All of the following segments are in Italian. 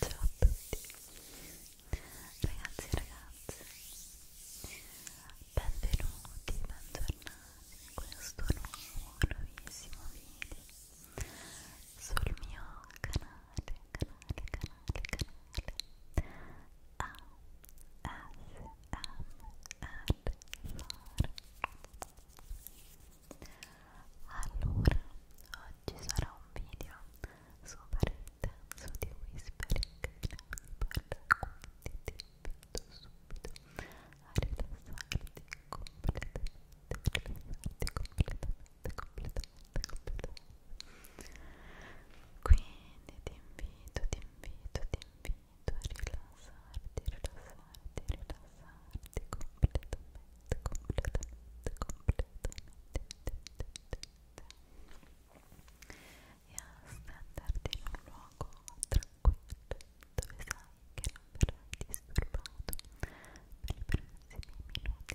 Ciao a tutti ragazzi e ragazze benvenuti, bentornati in questo nuovo, nuovissimo video sul mio canale, canale, canale, canale ASMR allora, oggi sarà un video super intenso di whispering quindi ti invito subito a rilassarti completamente, rilassarti completamente, completamente, completamente. Quindi ti invito, ti invito, ti invito a rilassarti, rilassarti, rilassarti. completamente, completamente, completamente e a standardi in un luogo tranquillo dove sai che non verrai disturbato per i prossimi minuti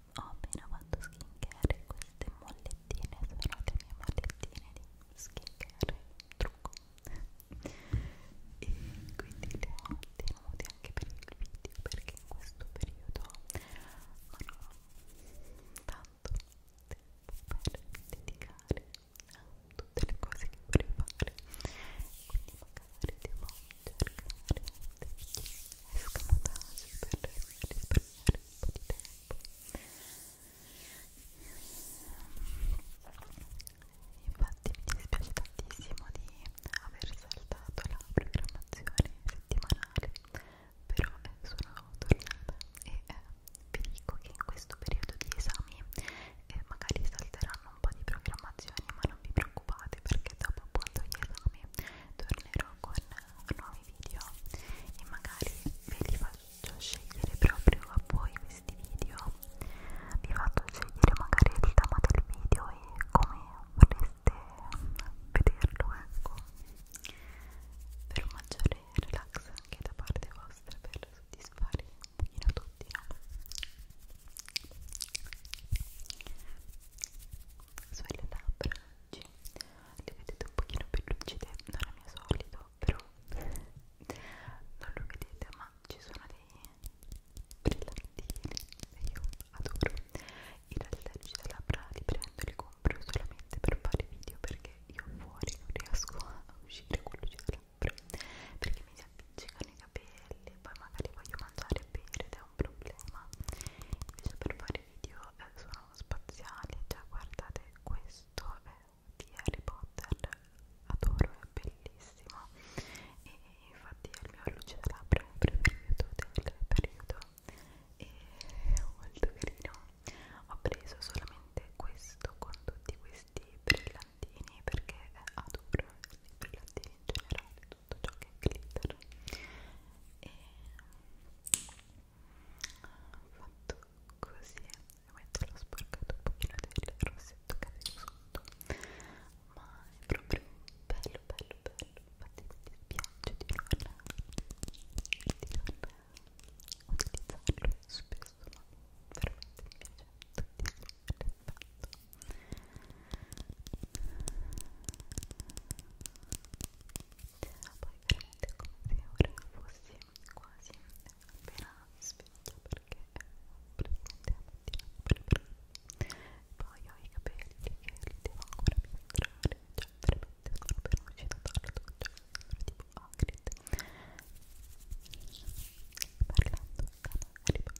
ho appena fatto skincare queste mollettine sono le mie mollettine di skincare trucco e quindi le ho tenute anche per il video perché in questo periodo non ho tanto tempo per dedicare a tutte le cose che vorrei fare quindi magari devo escamotasi per risparmiare un po' di tempo infatti mi dispiace tantissimo di aver saltato la programmazione settimanale però eh, sono tornata e eh, vi dico che in questo periodo di esami eh, magari salteranno un po' di programmazioni ma non vi preoccupate perché dopo appunto gli esami tornerò con nuovi video e magari ve li faccio scegliere proprio a voi questi video vi faccio scegliere magari il tema del video e come vorreste vederlo ecco per un maggiore relax anche da parte vostra per soddisfare un pochino tutti no? sulle labbra oggi le vedete un pochino più lucide non è mio solito però non lo vedete ma ci sono dei brillantini e io adoro in realtà i labbra li prendo li compro solamente per fare video perché io fuori non riesco a uscire con luci labbra perché mi si appiccicano capelli, poi magari voglio mangiare e bere ed è un problema. Invece per fare video eh, sono spaziali, cioè guardate questo è di Harry Potter, adoro, è bellissimo e infatti è il mio luce da labbra preferito del periodo e molto carino ho preso solamente questo con tutti questi brillantini perché eh, adoro i brillantini in generale tutto ciò che è glitter e fatto così e metto lo sporcato un pochino del rossetto che avevo sotto ma è proprio bello bello bello infatti mi dispiace di non, di non utilizzarlo spesso ma veramente mi piace tantissimo poi veramente come se ora fossi quasi appena sveglio perché praticamente la mattina per poi ho i capelli che li devo ancora filtrare cioè veramente sono per un cito tardo cioè sono tipo Hagrid parlando da Harry Potter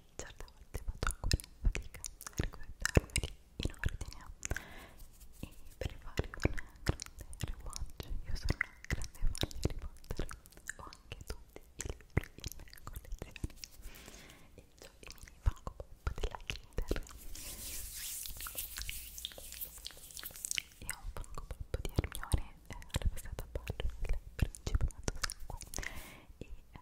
che certe volte faccio ancora fatica a ricordarmeli in ordine e per fare un grande rewatch io sono una grande fan di Harry Potter ho anche tutti i libri in collezione e ho i mini Funko Pop della Kinder e ho un Funko Pop di Hermione eh, era passato a ballo il principe Sangue e eh,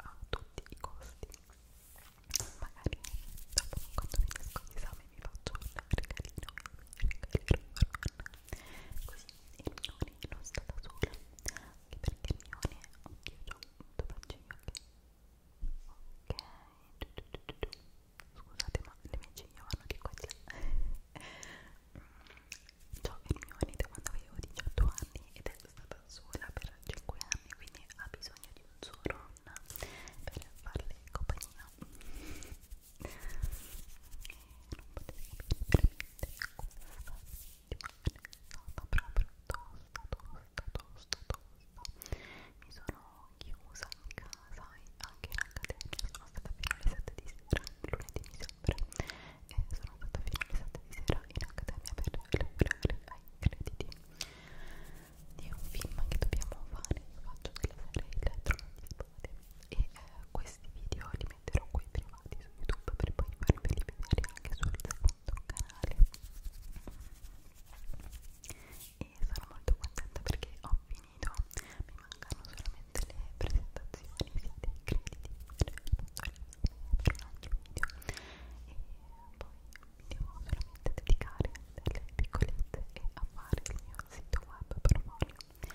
a tutti i costi magari dopo quando finisco gli esami mi faccio un regalino mi regalerò un farman così Ermione non sta da sola anche perché Ermione anch'io ho molto faccio gli occhi ok scusate ma le mie ciglia vanno di qua e di là ciò Hermione quando avevo 18 anni ed è stata sola per 5 anni quindi ha bisogno di un suo nonna per farle compagnia e non potete capire veramente come fa stata proprio tosta tosta tosta tosta mi sono chiusa in casa e anche in accademia sono stata fino alle 7 di sera lunedì mi sembra e sono andata fino alle 7 di sera in accademia per lavorare ai crediti di un film che dobbiamo fare, io faccio della serie Il Trono di Spade e eh, questi video li metterò qui privati su YouTube per poi farveli vedere anche sul secondo canale e sono molto contenta perché ho finito mi mancano solamente le presentazioni sia dei crediti che delle per un altro video e poi mi devo veramente dedicare alle piccolette e a fare il mio sito web per Molly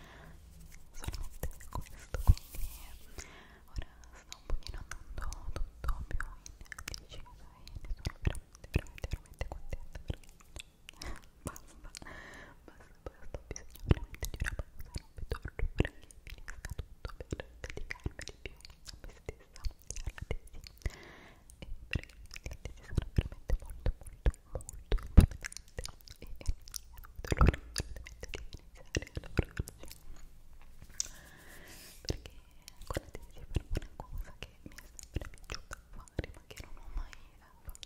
solamente questo quindi ora sto un pochino andando tutto più in discesa e ne sono veramente veramente veramente contenta perché basta basta basta questo ho bisogno veramente di una pausa, non vedo l'ora che finisca tutto per dedicarmi di più a me stessa e alla tesi e perché le tesi sono veramente molto molto molto importanti e non vedo l'ora assolutamente di iniziare a lavorarci perché con la tesi farò una cosa che mi è sempre piaciuta fare ma che non ho mai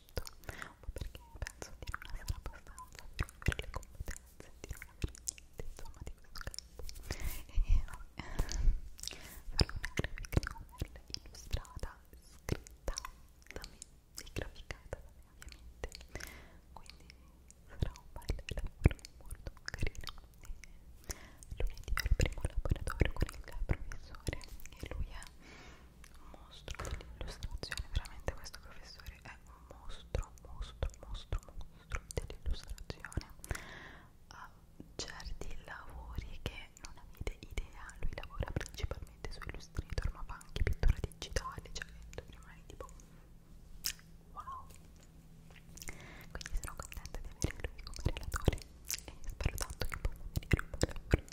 fatto un po' perché penso di non essere abbastanza per avere le competenze, di non avere niente insomma di questo campo e vabbè, farò una graphic novel illustrata, scritta da me e graficata da me ovviamente quindi sarà un bel lavoro molto carino e lunedì ho il primo laboratorio con il professore e lui è mostro dell'illustrazione veramente questo professore è un mostro mostro mostro mostro dell'illustrazione ha certi lavori che non avete idea lui lavora principalmente su illustrator ma fa anche pittura digitale cioè tu rimani tipo wow quindi sono contenta di avere lui come relatore e spero tanto che possa venire un po' voglio far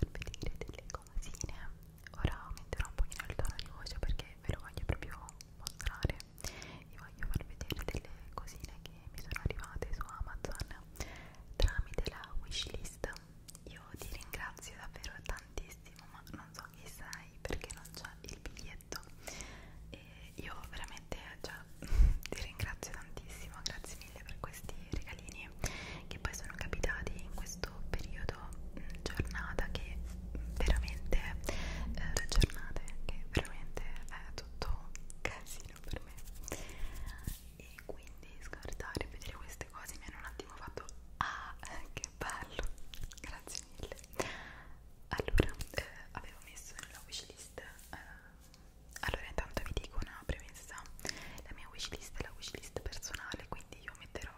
vedere delle cosine ora metterò un pochino il tono di voce perché ve lo voglio proprio mostrare vi voglio far vedere delle cosine che mi sono arrivate su Amazon tramite la wishlist io ti ringrazio davvero tantissimo ma non so chi sei perché non c'è il biglietto e io veramente cioè, ti ringrazio tantissimo grazie mille per questi regalini che poi sono capitati in questo periodo mh, mm, giornata che veramente eh, giornate che veramente è è tutto un casino per me e quindi scordare e vedere queste cose mi hanno un attimo fatto ah che bello grazie mille allora eh, avevo messo nella wishlist eh, allora intanto vi dico una premessa la mia wishlist è la wishlist personale quindi io metterò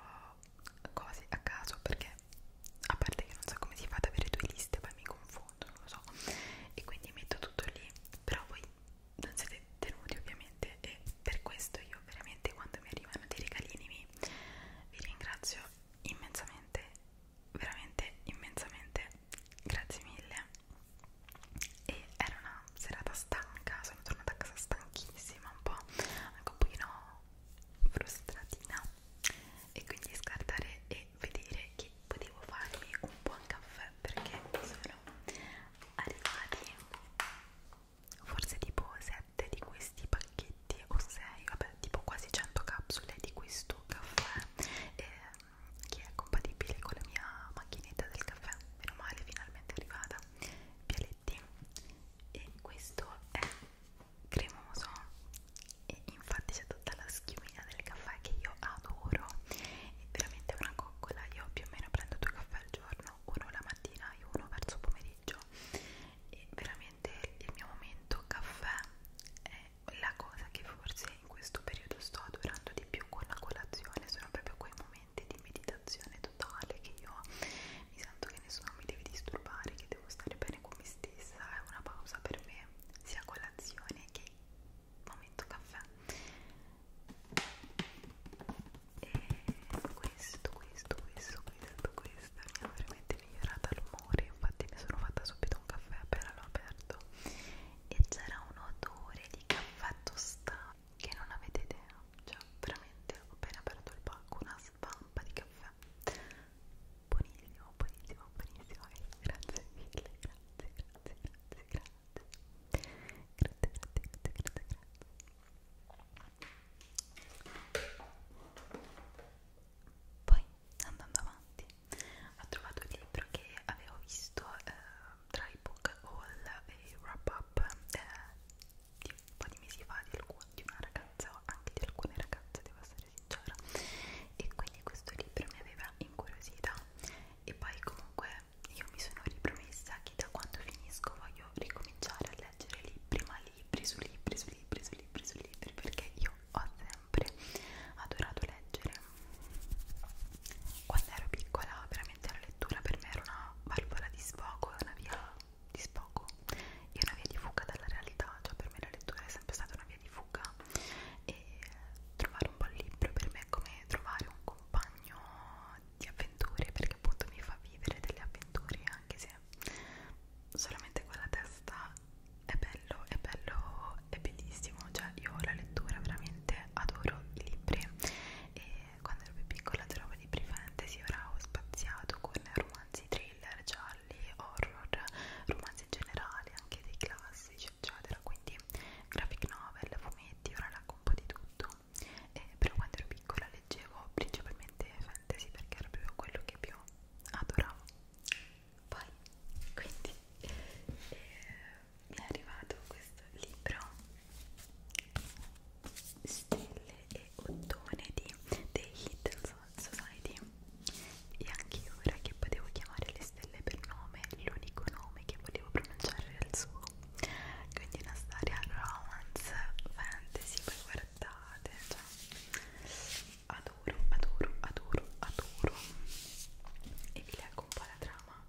cose a caso perché a parte che non so come si fa ad avere due liste poi mi confondo, non lo so e quindi metto tutto lì però voi non siete tenuti ovviamente e per questo io veramente quando mi arrivano dei regalini vi, vi ringrazio immensamente veramente immensamente grazie mille e era una serata stanca sono tornata a casa stanchissima un po' anche un pochino frustratina e quindi scartare e vedere che potevo farmi un buon caffè perché sono arrivati forse tipo 7 di questi pacchetti o 6 vabbè tipo quasi 100 capsule di questo caffè eh, che è compatibile con la mia macchinetta del caffè meno male finalmente arrivata Pialetti e questo è cremoso e infatti c'è tutta la schiumina del caffè che io adoro è veramente una coccola io più o meno prendo due caffè al giorno uno la mattina e uno verso pomeriggio e veramente il mio momento caffè è la cosa che forse in questo periodo sto adorando di più con la colazione sono proprio quei momenti di meditazione totale che io mi sento che nessuno mi deve disturbare che devo stare bene con me stessa è una pausa per me, sia colazione che momento caffè. E questo, questo, questo, questo, questo mi ha veramente migliorato l'umore. Infatti, mi sono fatta subito un caffè appena l'ho aperto e c'era un odore di caffè tostato che non avete idea. Cioè, veramente ho appena aperto il pacco, una spampa di caffè buonissimo, buonissimo, buonissimo e eh, grazie mille, grazie, grazie, grazie, grazie grazie, grazie, grazie, grazie, grazie poi andando avanti ho trovato il libro che avevo visto eh, tra i book haul e wrap up eh, di un po' di mesi fa di, alcun, di una ragazza, anche di alcune ragazze devo essere essere sincera e quindi questo libro mi aveva incuriosita e poi comunque io mi sono ripromessa che da quando finisco voglio ricominciare a leggere libri ma libri su libri su libri su libri su libri perché io ho sempre adorato leggere quando ero piccola veramente la lettura per me era una valvola di sfogo una via dispongo è una via di fuga dalla realtà, cioè per me la lettura è sempre stata una via di fuga e trovare un buon libro per me è come trovare un compagno di avventure perché appunto mi fa vivere delle avventure anche se solamente quella testa è bello, è bello, è bellissimo, cioè io la lettura veramente adoro i libri e quando ero più piccola trovavo libri fantasy, ora ho spaziato con romanzi thriller, cioè gialli, horror, romanzi generali, anche dei classici, eccetera. Quindi graphic novel, fumetti, ora leggo un po' di tutto. E però quando ero piccola leggevo principalmente fantasy perché era proprio quello che più adoravo. Poi, quindi, eh, mi è arrivato questo libro stelle e ottone di The Hit Society e anche io ora che potevo chiamare le stelle per nome l'unico nome che volevo pronunciare era il suo quindi una storia romance fantasy poi guardate cioè, adoro adoro adoro adoro e vi leggo un po' la trama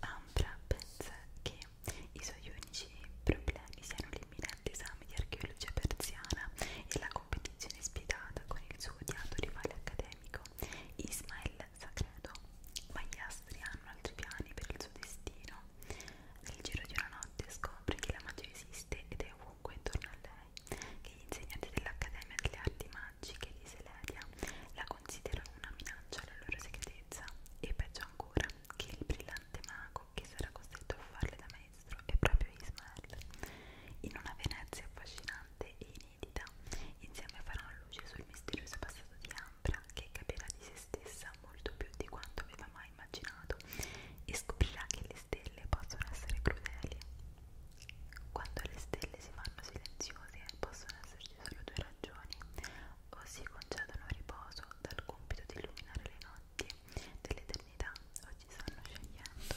Ambra pensa che i suoi unici problemi siano l'imminente esame di archeologia persiana e la competizione spietata con il suo odiato rivale accademico Ismael Sacredo, ma gli astri hanno altri piani per il suo destino. Nel giro di una notte scopre che la magia esiste ed è ovunque intorno a lei, che gli insegnanti dell'Accademia delle Arti Magiche di Seledia la considerano una minaccia alla loro segretezza e peggio ancora che il brillante mago che sarà costretto a farle da maestro è proprio Ismael. In una Venezia affascinante e inedita, insieme faranno luce sul misterioso passato di Ambra, che capirà di se stessa molto più di quanto aveva mai immaginato e scoprirà che le stelle possono essere crudeli. Quando le stelle si fanno silenziose, possono esserci solo due ragioni: o si concedono riposo dal compito di illuminare le notti dell'eternità. Oggi stanno scegliendo.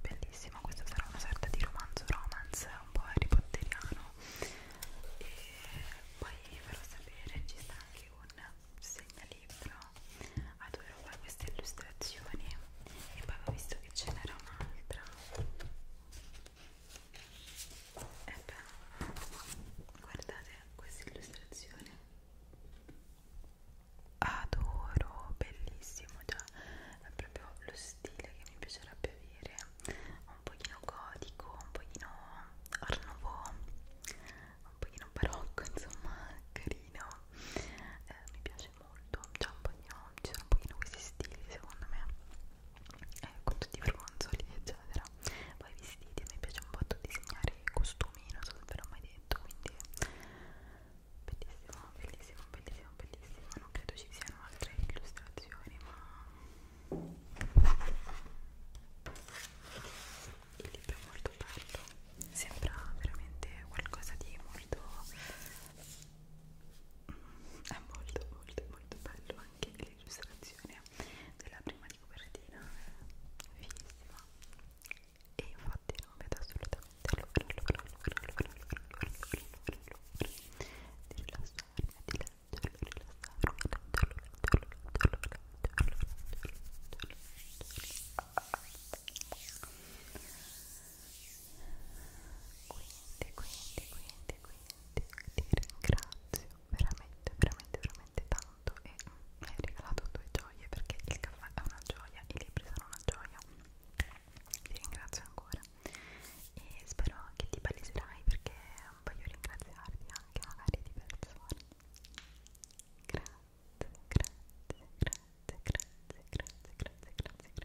Bellissimo, questo sarà una sorta di romanzo romance, un po' Harry Potteriano. E poi vi farò sapere, ci sta anche un segnalibro a due roba queste illustrazioni. E poi ho visto che ce n'era un'altra Ebbene, guardate questa illustrazione. Adoro, bellissimo, già è proprio lo stile che mi piacerebbe avere, un pochino gotico, un pochino art nouveau, un pochino barocco, insomma, carino. Eh, mi piace molto, c'è un pochino, ci sono un pochino questi stili secondo me eh, con tutti i fronzoli eccetera poi i vestiti, a me piace un botto disegnare i costumi, non so se ve l'ho mai detto quindi bellissimo, bellissimo, bellissimo, bellissimo non credo ci siano altre illustrazioni ma il libro è molto bello sembra veramente qualcosa di molto è molto molto molto bello anche l'illustrazione della prima di copertina fighissima e infatti non vedo assolutamente l'ora l'ora l'ora l'ora l'ora l'ora di rilassarmi di leggerlo, rilassarmi leggerlo, leggerlo, leggerlo, leggerlo, leggerlo, leggerlo, quindi, quindi, quindi, quindi ti ringrazio veramente, veramente, veramente tanto e mi hai regalato due gioie perché il caffè è una gioia, i libri sono una gioia ti ringrazio ancora e spero che ti paleserai perché voglio ringraziarti anche magari di persone grazie, grazie, grazie, grazie, grazie, grazie, grazie, grazie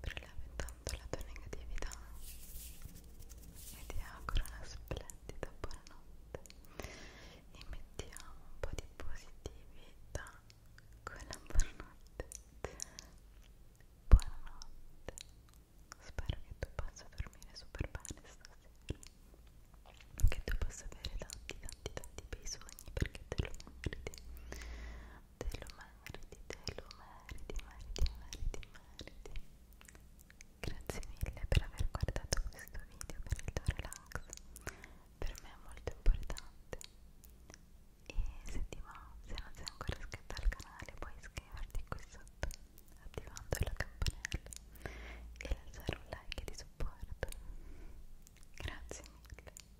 rilevi tanto la tua negatività e ti auguro una splendida buonanotte e mettiamo un po' di positività con la buonanotte buonanotte spero che tu possa dormire super bene stasera che tu possa avere tanti tanti tanti bei sogni perché te lo meriti te lo meriti, te lo meriti, meriti, meriti, meriti. Grazie mille per aver guardato questo video, per il tuo relax. Per me è molto importante. E se ti va, se non sei ancora iscritto al canale, puoi iscriverti qui sotto attivando la campanella e lasciare un like di supporto. Grazie mille.